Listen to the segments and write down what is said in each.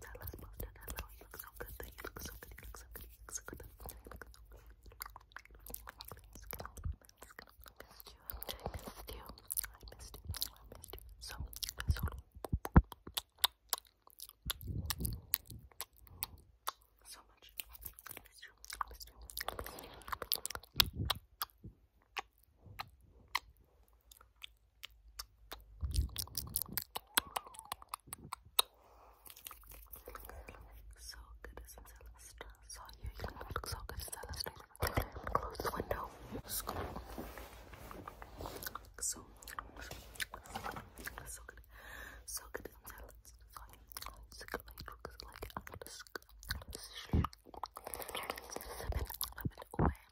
that last post I love you look so good you look so good, you look so good, you look so good. I missed you, I missed you, I missed you, I missed you. So much. you so good, isn't Celeste? Saw you, look so good, Celeste. Close the window. So, good, so good, isn't you. So good, looks like I'm just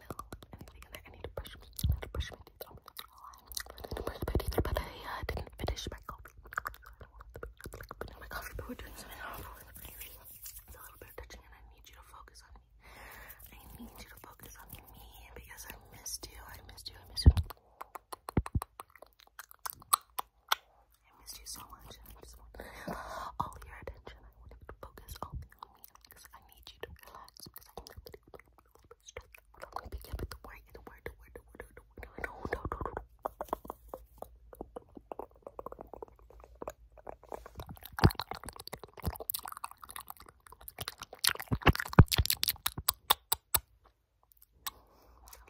no, anything in there. I need to brush, I need to brush my teeth. I'm not gonna lie. I need to brush my teeth, but I uh, didn't finish my coffee. So I don't want to put in my coffee, but we're doing something awful. It's a little bit of touching, and I need you to focus on me. I need you to focus on me because I missed you. I missed you. I missed you. I missed you so much. I just want all your attention. I want you to focus all the relax. I need you to relax because I know that you're going to stress. But I'm going to begin with the word, the word, the word, the word, the word. No, no, no, no, no.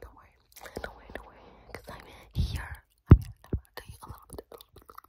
Don't worry, don't worry, don't worry, because I'm here. I'm here. I'm going to tell you a little bit, a little bit,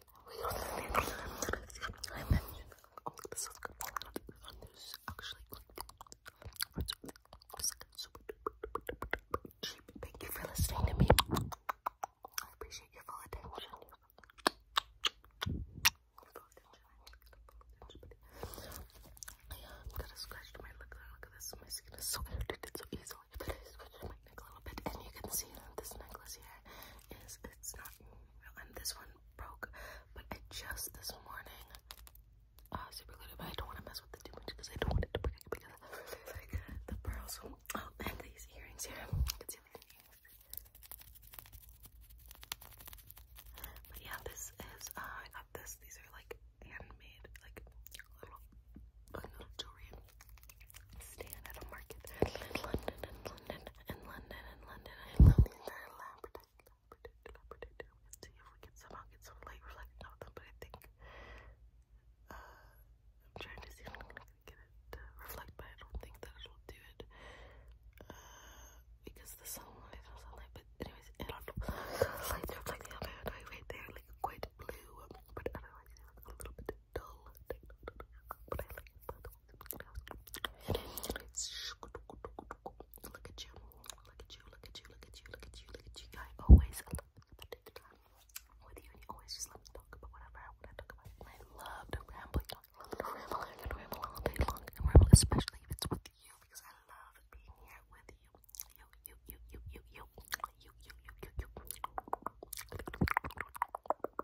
Thank you for listening to me. I appreciate your full attention. Yeah, I'm gonna scratch my lip. Look at this. My skin is so irritated so easily. But I scratched my neck a little bit, and you can see this necklace here is it's not real. And this one broke, but I just this morning uh, super glued But I don't want to mess with the too because I don't want it to break because the pearls. Oh, and these earrings here. You can see the But yeah, this is. Uh, I got this. These are like handmade, like little, like Stan at a market in London, in London, in London, in London. I love these. They're Labrador, see if we can somehow get some light reflected off them, but I think uh, I'm trying to see if I'm get it to reflect, but I don't think that will do it uh, because the sunlight is sunlight. But anyways, I don't know. The lights reflecting off my right there, like blue, but otherwise it looks a little bit dull, Look at you, look at you, look at you, look at you, look at you, look at you. I always love the TikTok with you, you always just let me talk about whatever I want to talk about. I love to ramble, love to ramble, I can ramble all day long, I ramble, especially if it's with you, because I love being here with you. You, you, you, you, you, you, you, you, you, you, you.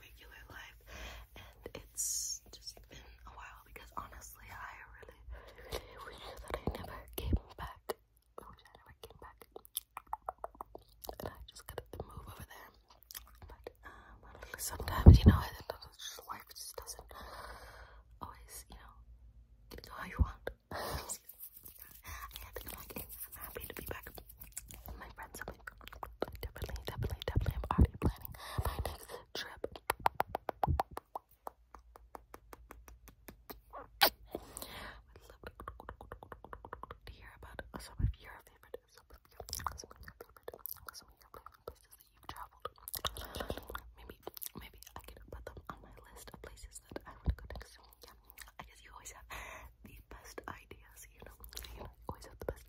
regular life, and it's just been a while because honestly, I really, really wish that I never came back. I wish I never came back, and I just got to move over there. But um, sometimes, you know, life just doesn't always, you know, go how you want. I think I'm like, I'm happy to be back my friends have been definitely, definitely, definitely i planning my next trip. I'd love to hear about some of your favorite some of your favorite places that you've traveled. Maybe maybe I could put them on my list of places that I want go next. Yeah. I guess you always have the best ideas, You know, you always have the best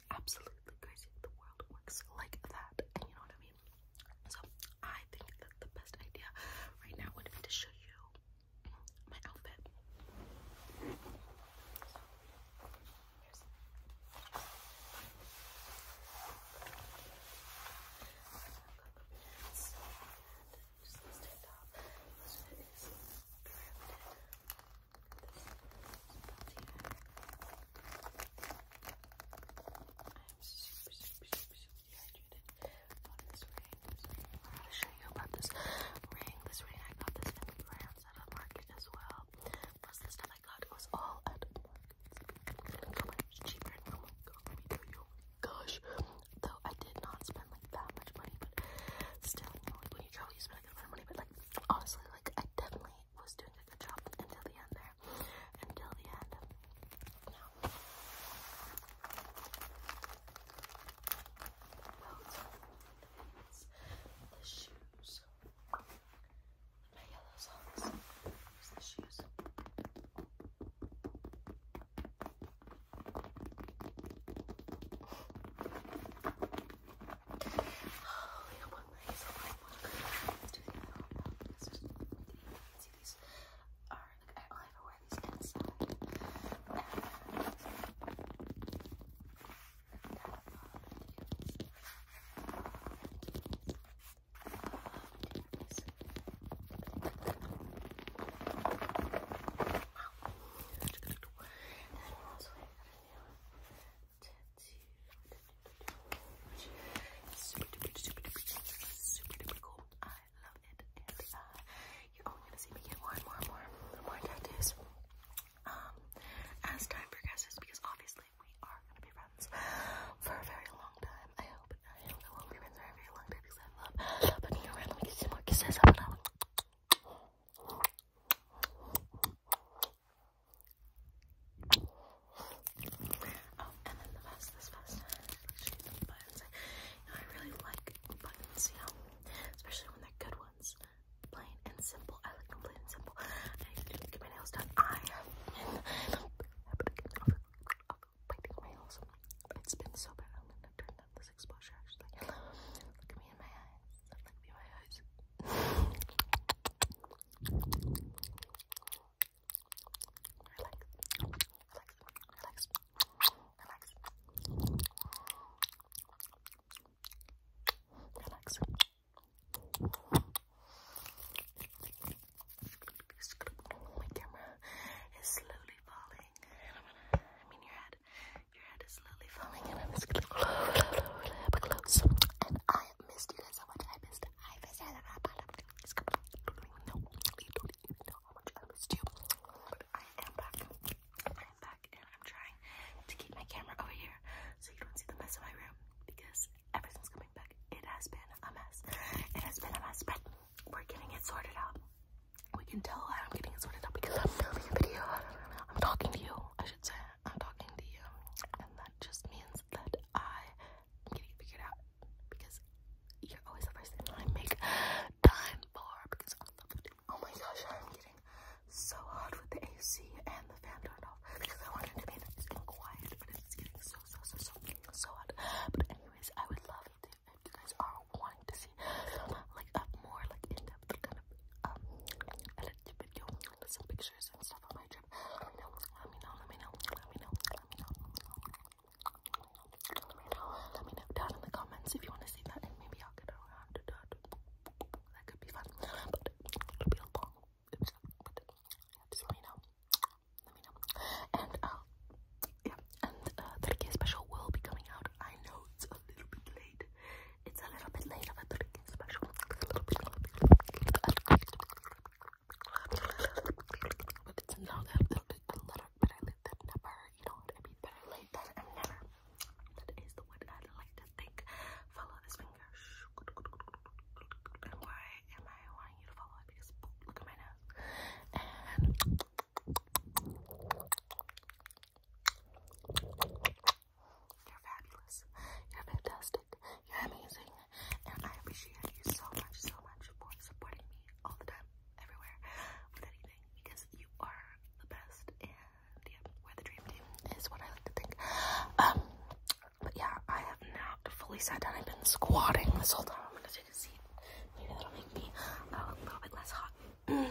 absolutely crazy. The world works like that, you know what I mean? So, I think that the best idea right now would be to show you my outfit. I'm super, super, super, super dehydrated about this This ring. I want to show you about this ring. This ring, I got this in France market as well. Plus, the stuff I got was all at markets. So much cheaper. Oh my god, let me Gosh. Though I did not spend like that much money, but still, when you travel, but like honestly, like I definitely was doing a good job until the end there. Until the end. Oh, you know what? Nice. Oh, my God. Let's do the other one. Let's just see these. Are, like, I only ever wear these inside. And then also I love it. you're only gonna see me get more more more more tattoos um, as time progresses because obviously we are gonna be friends for a very long time. I hope. I hope I will be friends for a very long time because I love. But you know, let me get some more kisses. Up and up. Oh, and then the vest, the buttons. I, really like buttons, you especially when they're good ones. Plain and simple. I like plain and simple. I did get my nails done. I have been biting my nails. It's been so bad. I'm gonna turn down this exposure actually. Relax. Relax. Relax. Relax. Relax. My camera is slowly falling, and I'm gonna, I mean, your head. Your head is slowly falling, and I'm just gonna close. And I missed you guys so much. I missed. I missed. I don't even know. You don't even know how much I missed you. But I am back. I am back, and I'm trying to keep my camera over here so you don't see the mess in my room because everything's coming back. It has been a mess. It has been a mess, but we're getting it sorted out we can tell I'm getting sorted out because I'm filming a video. I'm talking to you, I should say. I'm talking to you. And that just means that I am getting it figured out because you're always the first thing that I make time for because I love it. Oh my gosh, I'm getting so hot with the AC and the fan turned off because I wanted to be nice quiet, but it's getting so, so, so, so, so hot. But anyways, I would love to if you guys are wanting to see like more like in-depth kind of um edited video some pictures and stuff on my trip, let me know, let me know, let me know, let me know, let me know, let me know, let me know down in the comments if you want to see that maybe I'll get around that. That could be fun. But it'll be a long just let me know. Let me know. And uh yeah, and uh 30k special will be coming out. I know it's a little bit late. It's a little bit late of a special. It's not a little bit a but I never, you know what I mean? Better late than never. That is the word I'd like to think. Follow this finger. And why am I wanting you to follow it? look at my nose. You're fabulous. You're fantastic. You're amazing. And I appreciate you so much, so much for supporting me all the time, everywhere, with anything, because you are the best. And yeah, we're the dream team, is what I like to think. Um, but yeah, I have not fully sat down. I've been squatting this whole time. I'm gonna take a seat. Maybe that'll make me uh, a little bit less hot.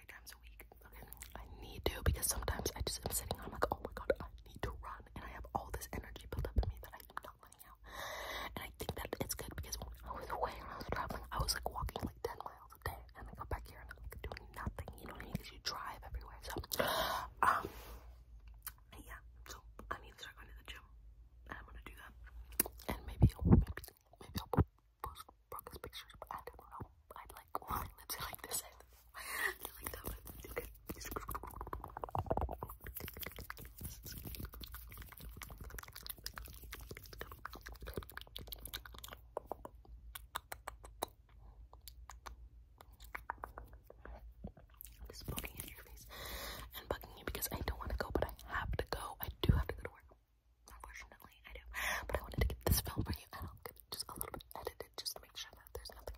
three times a week. Okay, I need to because sometimes I just am sitting I'm like, oh my god, I need to run, and I have all this energy built up in me that I am not letting out. And I think that it's good because when I was away and I was traveling, I was like walking like ten miles a day, and I come back here and I'm like doing nothing. You know what I mean? Because you drive everywhere. So, um, yeah. So I need to start going to the gym, I'm gonna do that, and maybe, maybe, maybe post Broca's pictures, but I don't know. I like when my lips are like this. I like that one. Okay. I'm just poking your face and bugging you because I don't want to go, but I have to go. I do have to go to work. Unfortunately, I do. But I wanted to get this film for you, and I'll get it just a little bit edited just to make sure that there's nothing.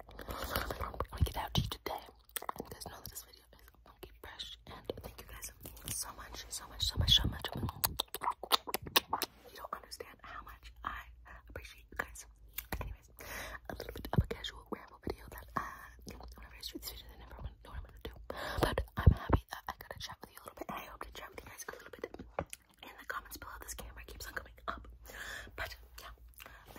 I'm gonna get out to you today. you guys know that this video is funky fresh. And thank you guys so much, so much, so much, so much. You don't understand how much I appreciate you guys. Anyways, a little bit of a casual ramble video that uh, whenever I shoot this video, they never know what I'm gonna do. But I'm happy. Uh, I got to chat with you a little bit. I hope to chat with you guys a little bit in the comments below. This camera keeps on coming up. But yeah,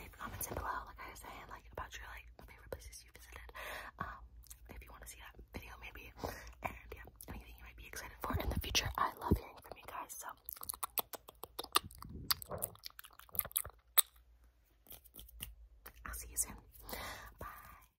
leave comments in below, like I was saying, like about your like favorite places you visited. Um, if you want to see that video maybe. And yeah, anything you might be excited for in the future. I love hearing from you guys, so I'll see you soon. Bye.